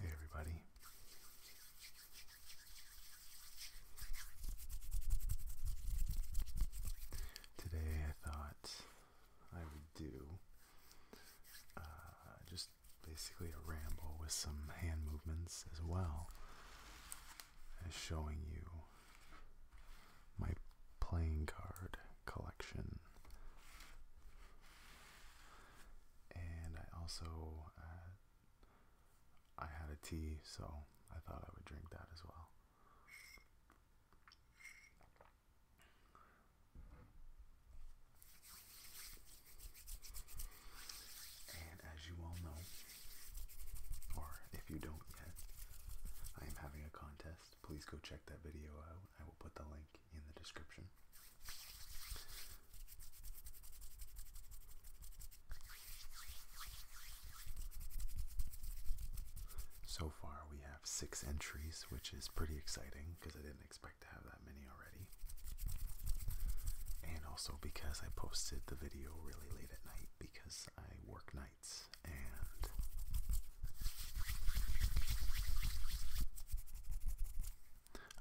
Hey, everybody. Today I thought I would do uh, just basically a ramble with some hand movements as well as showing you my playing card collection. And I also, uh, I had a tea, so I thought I would drink that as well. And as you all know, or if you don't yet, I am having a contest. Please go check that video out. I will put the link in the description. So far, we have have six entries, which is pretty exciting because I didn't expect to have that many already. And also because I posted the video really late at night because I work nights and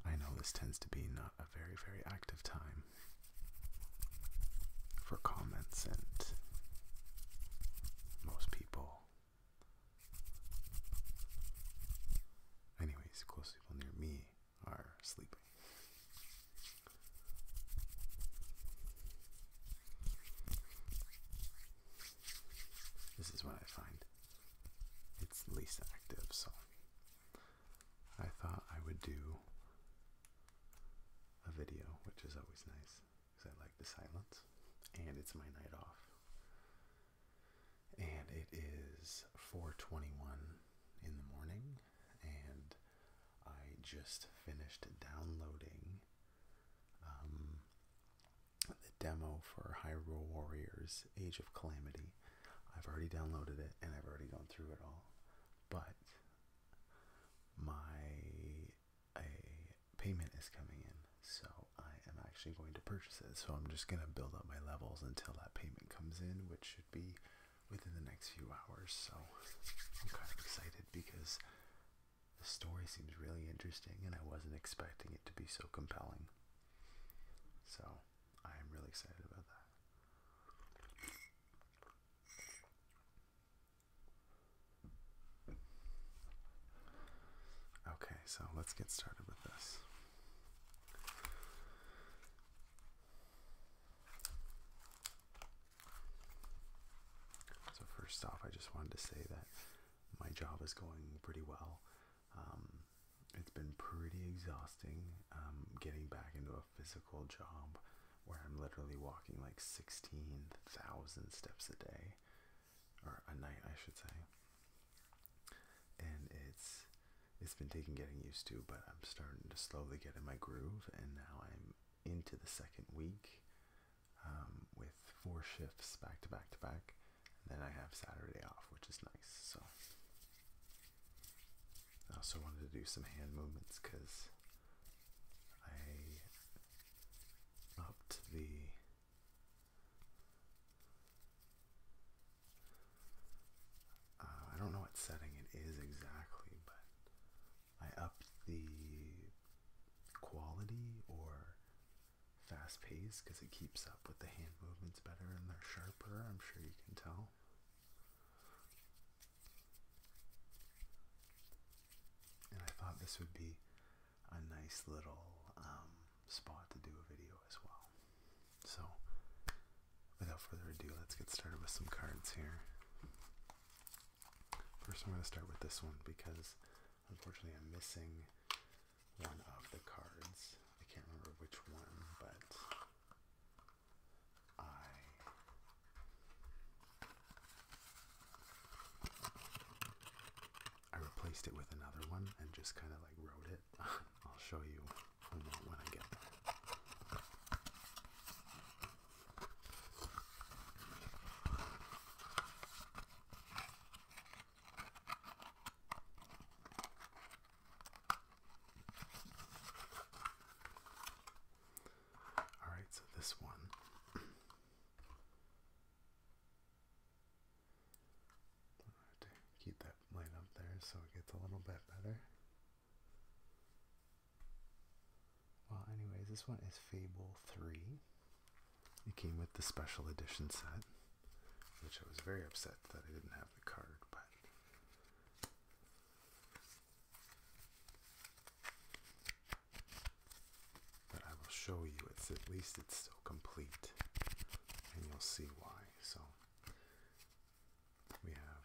I know this tends to be not a very, very active time for comments, and most people Anyways, close people near me are sleeping. This is what I find. It's least active, so I thought I would do a video, which is always nice because I like the silence, and it's my night off. And it is 4:21 in the morning, and I just finished downloading um, the demo for Hyrule Warriors: Age of Calamity. I've already downloaded it, and I've already gone through it all, but my a payment is coming in, so I am actually going to purchase it. So I'm just gonna build up my levels until that payment comes in, which should be within the next few hours. So I'm kind of excited because the story seems really interesting, and I wasn't expecting it to be so compelling. So I am really excited about that. Okay, so let's get started with this. So, first off, I just wanted to say that my job is going pretty well. Um, it's been pretty exhausting um, getting back into a physical job where I'm literally walking like 16,000 steps a day or a night, I should say. And it's it's been taking getting used to, but I'm starting to slowly get in my groove, and now I'm into the second week um, with four shifts back to back to back. And then I have Saturday off, which is nice. So I also wanted to do some hand movements because I upped the uh, I don't know what setting it is exactly, but I upped the quality or fast pace because it keeps up with the hand movements better and they're sharper. I'm sure you can tell. And I thought this would be a nice little um, spot to do a video as well. So, without further ado, let's get started with some cards here. First, I'm going to start with this one because unfortunately I'm missing one of the cards. I can't remember which one, but I I replaced it with another one and just kind of like wrote it. I'll show you when I get All right, so this one Right, keep that light up there so it gets a little bit better. Well, anyways, this one is Fable 3. It came with the special edition set, which I was very upset that I didn't have the card, but. But I will show you. It's at least it's still complete, and you'll see why. So we have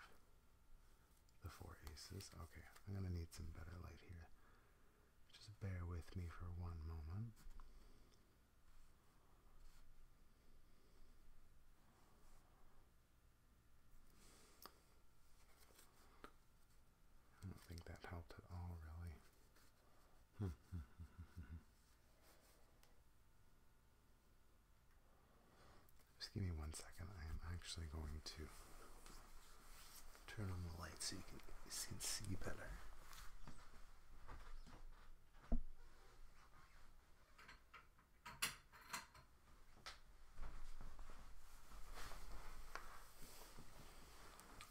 the four aces. Okay, I'm gonna need some better light here. Just bear with me for one moment. I don't think that helped at all, really. Hmm. Just give me one second. I am actually going to turn on the light so you can, so you see better.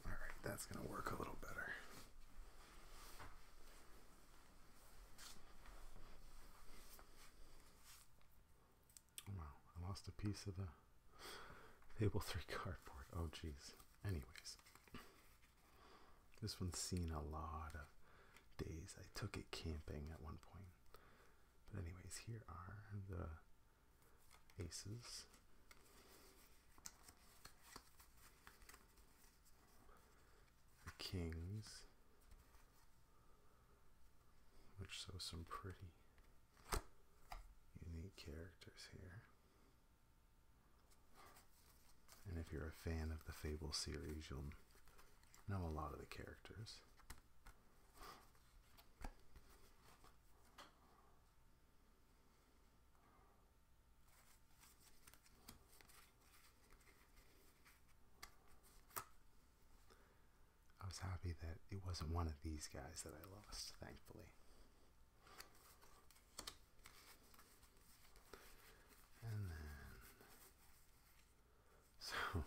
All right, that's going to work a little better. Oh, wow, I lost a piece of the table three cardboard. Oh, geez. Anyways, this one's seen a lot of days. I took it camping at one point. But anyways, here are the aces. The kings, which show some pretty unique characters here. And if you're a fan of the Fable series, you'll know a lot of the characters. I was happy that it wasn't one of these guys that I lost, thankfully. And then, so,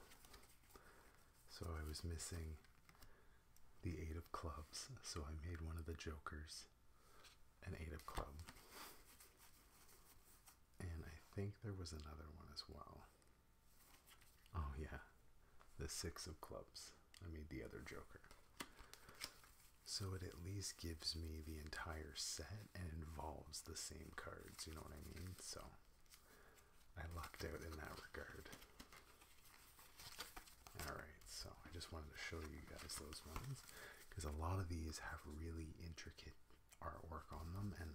so I was missing the eight of clubs, so I made one of the jokers an eight of club. And I think there was another one as well. Oh yeah, the six of clubs. I made the other joker. So it at least gives me the entire set and involves the same cards, you know what I mean? So I lucked out in that regard. Alright, so I just wanted to show you guys those ones because a lot of these have really intricate artwork on them and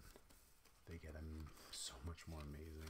they get them so much more amazing.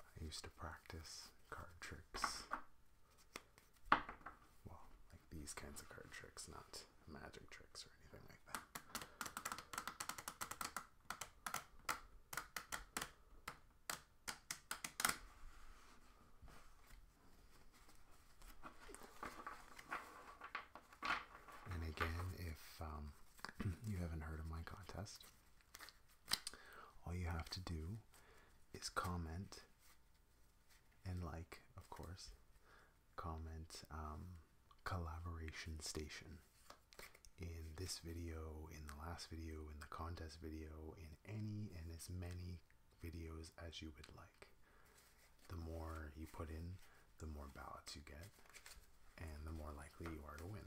I used to practice card tricks. Well, like these kinds of card tricks, not magic tricks or anything like that. And again, if um, you haven't heard of my contest, all you have to do is comment and like, of course, comment um, collaboration station in this video, in the last video, in the contest video, in any and as many videos as you would like. The more you put in, the more ballots you get, and the more likely you are to win.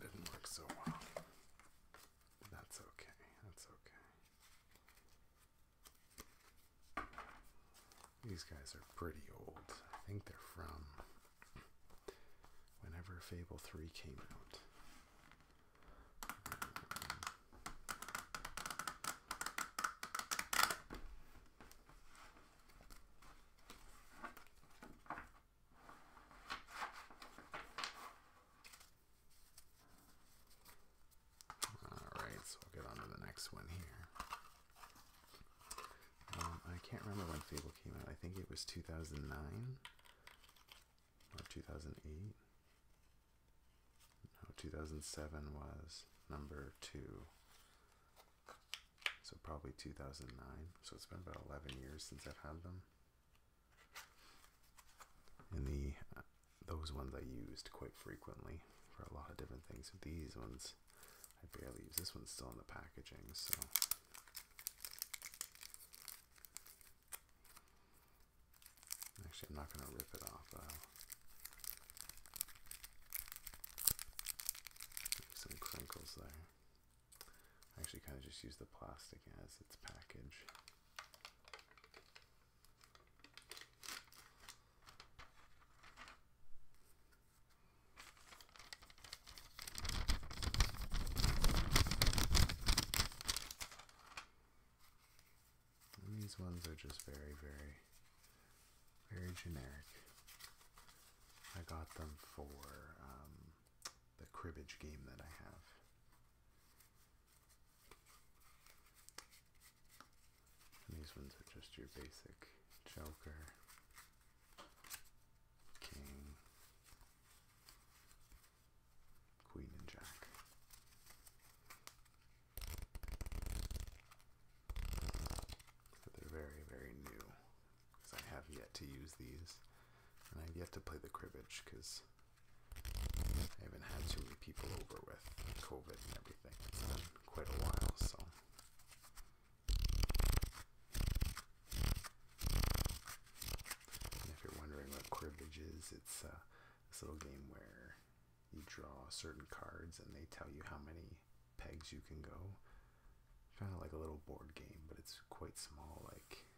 Didn't work so well. That's okay. That's okay. These guys are pretty old. I think they're from whenever Fable 3 came out. Alright, so we'll get on the next one here. Um, I can't remember when Fable came out. I think it was 2009 or 2008. No, 2007 was number two. So probably 2009. So it's been about 11 years since I've had them. And the uh, those ones I used quite frequently for a lot of different things. These ones I barely use. This one's still in the packaging, so. Actually, I'm not going to rip it off. I'll some crinkles there. I actually kind of just use the plastic as its package these ones are just very, very, very generic. I got them for um, the cribbage game that I have. And these ones are just your basic joker, king, queen, and jack. So they're very, very new because I have yet to use these and I've yet to play the cribbage because I haven't had too many people over with COVID and everything. It's been quite a while, so. if you're wondering what cribbage is, it's uh, this little game where you draw certain cards and they tell you how many pegs you can go. Kind of like a little board game, but it's quite small, like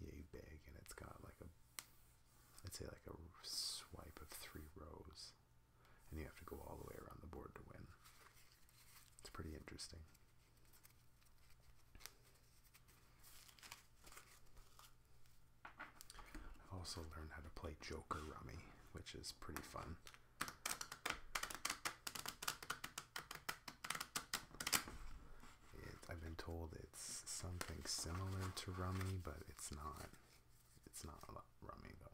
yay big, and it's got like a I'd say like a swipe of three rows, and you have to go all the way around the board to win. It's pretty interesting. I've also learned how to play Joker Rummy, which is pretty fun. I've been told it's something similar to Rummy, but it's not. It's not a lot, rummy though.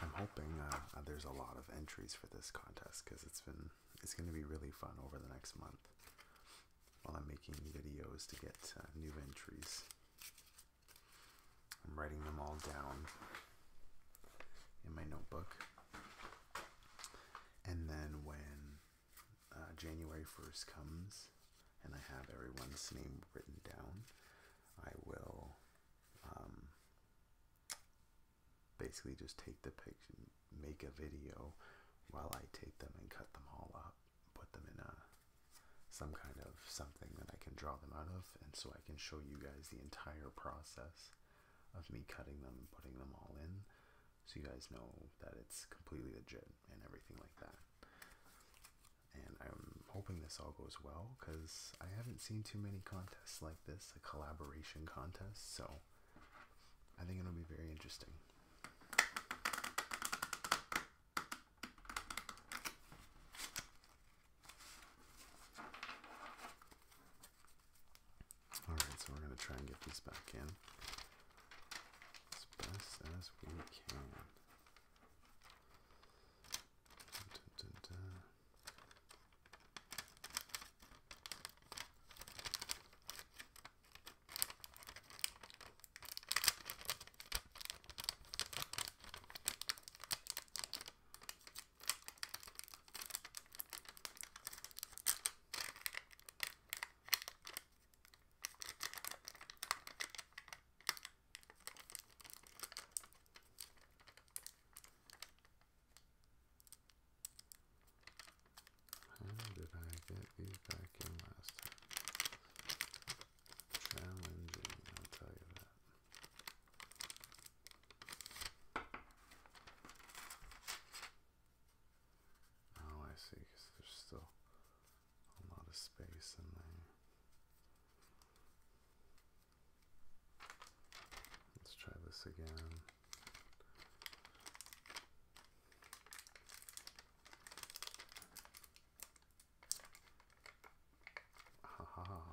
I'm hoping uh, uh, there's a lot of entries for this contest because it's been it's going to be really fun over the next month while I'm making videos to get uh, new entries. I'm writing them all down in my notebook. And then when uh, January 1st comes and I have everyone's name written down, I will um, basically just take the picture, make a video while I take them and cut them all up, put them in a some kind of something that I can draw them out of, and so I can show you guys the entire process of me cutting them and putting them all in so you guys know that it's completely legit and everything like that. And I'm hoping this all goes well because I haven't seen too many contests like this, a collaboration contest, so I think it'll be very interesting. Alright, so we're going to try and get these back in as best as we can. How did I get these back in last time? Challenging, I'll tell you that. Oh, I see, because there's still a lot of space in there. Let's try this again.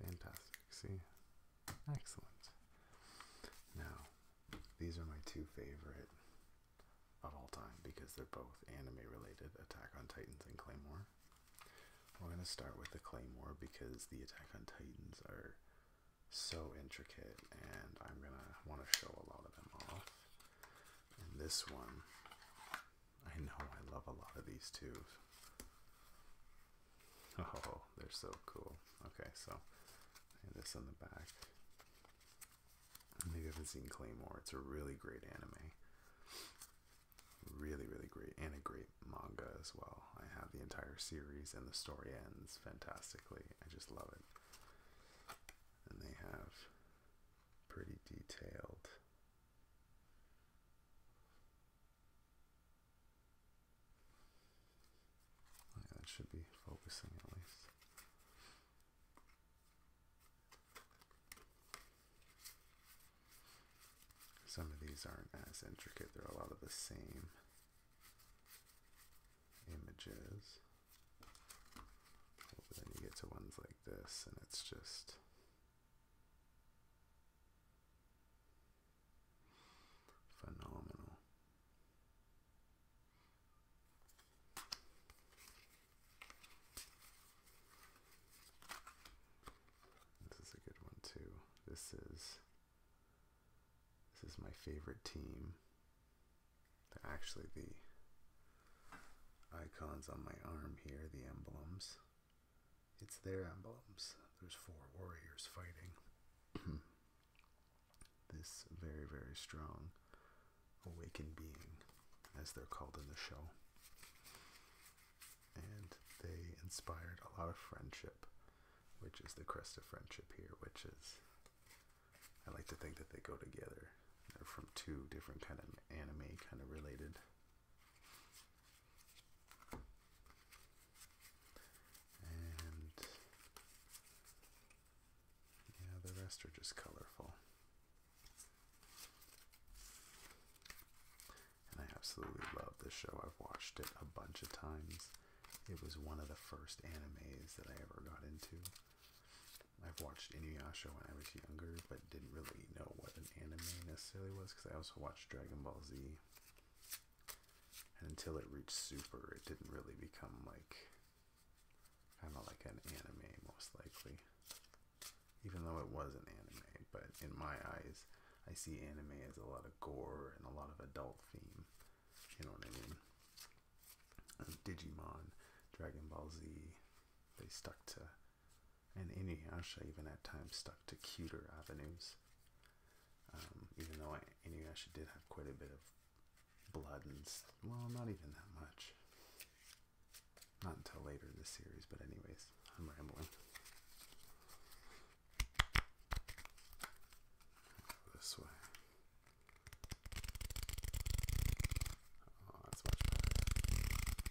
Fantastic. See? Excellent. Now, these are my two favorite of all time because they're both anime related Attack on Titans and Claymore. We're going to start with the Claymore because the Attack on Titans are so intricate and I'm going to want to show a lot of them off. And this one I know I love a lot of these too. Oh, they're so cool. Okay, so this in the back. Maybe I haven't seen Claymore. It's a really great anime. Really, really great. And a great manga as well. I have the entire series, and the story ends fantastically. I just love it. And they have pretty detailed that should be focusing at least. Some of these aren't as intricate, they're a lot of the same images. But then you get to ones like this, and it's just Phenomenal. This is a good one too. This is this is my favorite team. actually the icons on my arm here, the emblems. It's their emblems. There's four warriors fighting this very, very strong awakened being, as they're called in the show. And they inspired a lot of friendship, which is the crest of friendship here, which is I like to think that they go together. They're from two different kind of anime kind of related and yeah, the rest are just colorful. And I absolutely love this show. I've watched it a bunch of times. It was one of the first animes that I ever got into. I've watched Inuyasha when I was younger, but but didn't really know what an anime necessarily was because I also watched Dragon Ball Z. And until it reached Super, it didn't really become like kind of like an anime, most likely. Even though it was an anime, but in my eyes, I see anime as a lot of gore and a lot of adult theme. You know what I mean? Digimon, Dragon Ball Z, they stuck to and Inuyasha even at times stuck to cuter avenues. Um, even though I, Inuyasha did have quite a bit of blood and, well, not even that much. Not until later in the series, but anyways, I'm rambling. this way. Oh, that's much better.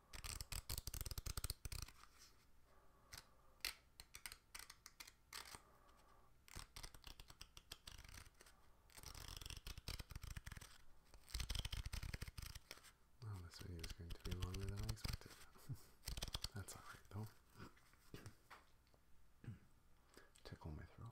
Well, this video is going to be longer than I expected. That's alright though. Tickle my throat.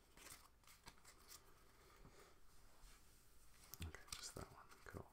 Okay, just that one. Cool.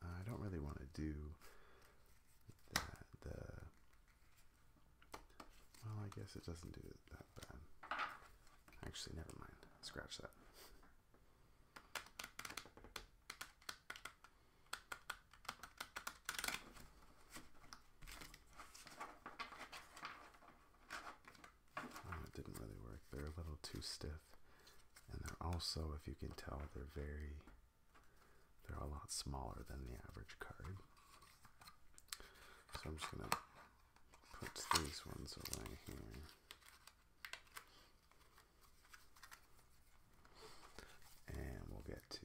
I don't really want to do the, well I guess it doesn't do that bad actually never mind scratch that Oh, it didn't really work. They're a little too stiff. And they're also, if you can tell, they're very, they're a lot smaller than the average card. So I'm just going to put these ones away here. And we'll get to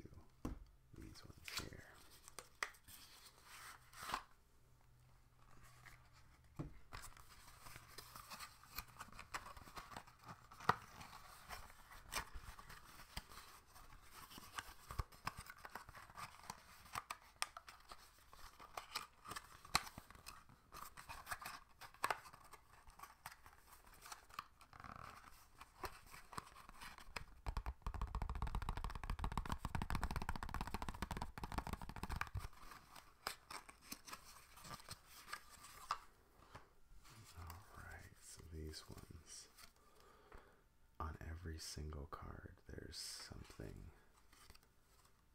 these ones here. Alright, so these ones. On every single card, there's something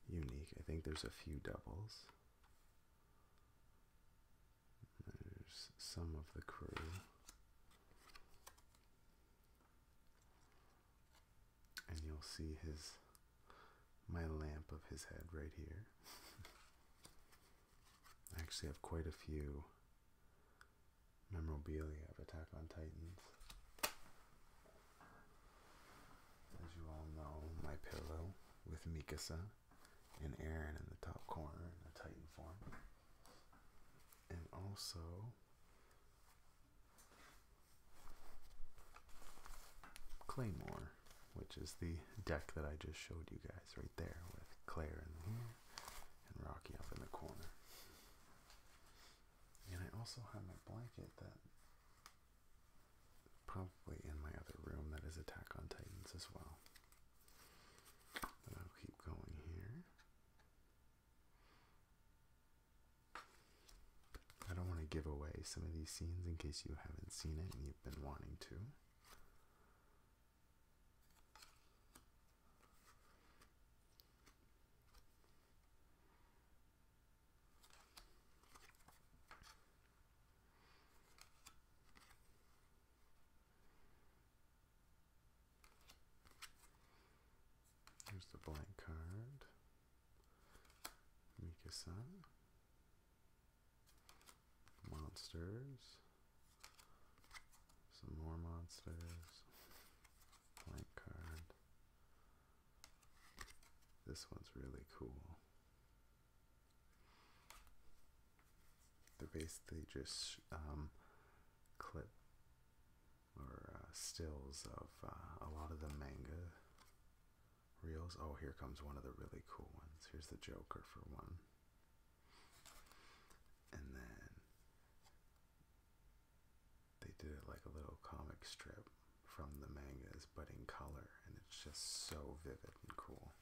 unique. I think there's a few doubles. There's some of the crew. And you'll see his my lamp of his head right here. I actually have quite a few memorabilia of Attack on Titans. As you all know, my pillow with Mikasa and Aaron in the top corner in the Titan form. And also Claymore, which is the deck that I just showed you guys right there with Claire in here and Rocky up in the corner. And I also have my blanket that probably in my other room that is Attack on Titans as well. But I'll keep going here. I don't want to give away some of these scenes in case you haven't seen it and you've been wanting to. Here's the blank card. Mikasan. Monsters. Some more monsters. Blank card. This one's really cool. They're basically just um, clip or uh, stills of uh, a lot of the manga reels. Oh, here comes one of the really cool ones. Here's the Joker for one. And then they did it like a little comic strip from the mangas, but in color, and it's just so vivid and cool.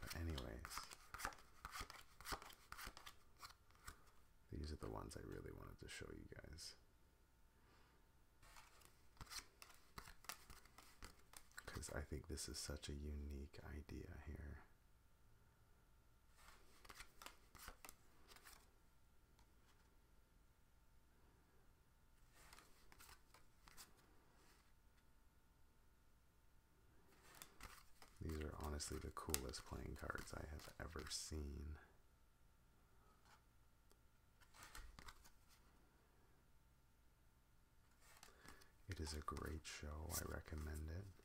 But anyways, these are the ones I really wanted to show you guys. Because I think this is such a unique idea here. These are honestly the coolest playing cards I have ever seen. It is a great show. I recommend it.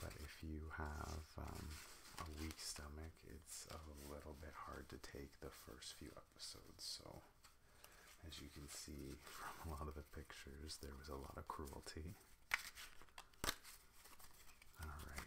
But if you have um, a weak stomach, it's a little bit hard to take the first few episodes. So, as you can see from a lot of the pictures, there was a lot of cruelty. Alright.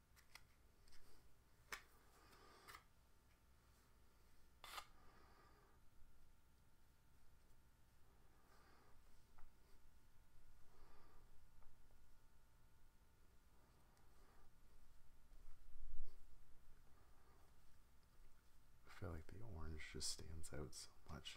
I feel like the orange just stands out so much.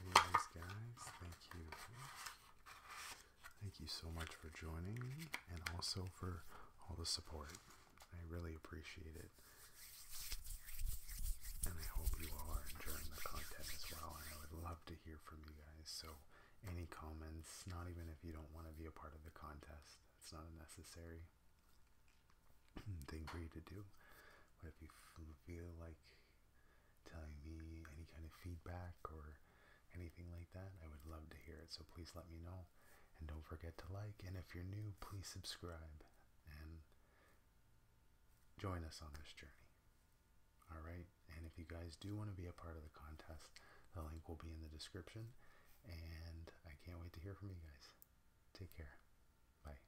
Anyways, guys, thank you. Thank you so much for joining me and also for all the support. I really appreciate it. And I hope you are enjoying the content as well. And I would love to hear from you guys. So, any comments, not even if you don't want to be a part of the contest, it's not necessary. thing for you to do. But if you feel like telling me any kind of feedback or anything like that, I would love to hear it. So please let me know. And don't forget to like. And if you're new, please subscribe and join us on this journey. All right. And if you guys do want to be a part of the contest, the link will be in the description. And I can't wait to hear from you guys. Take care. Bye.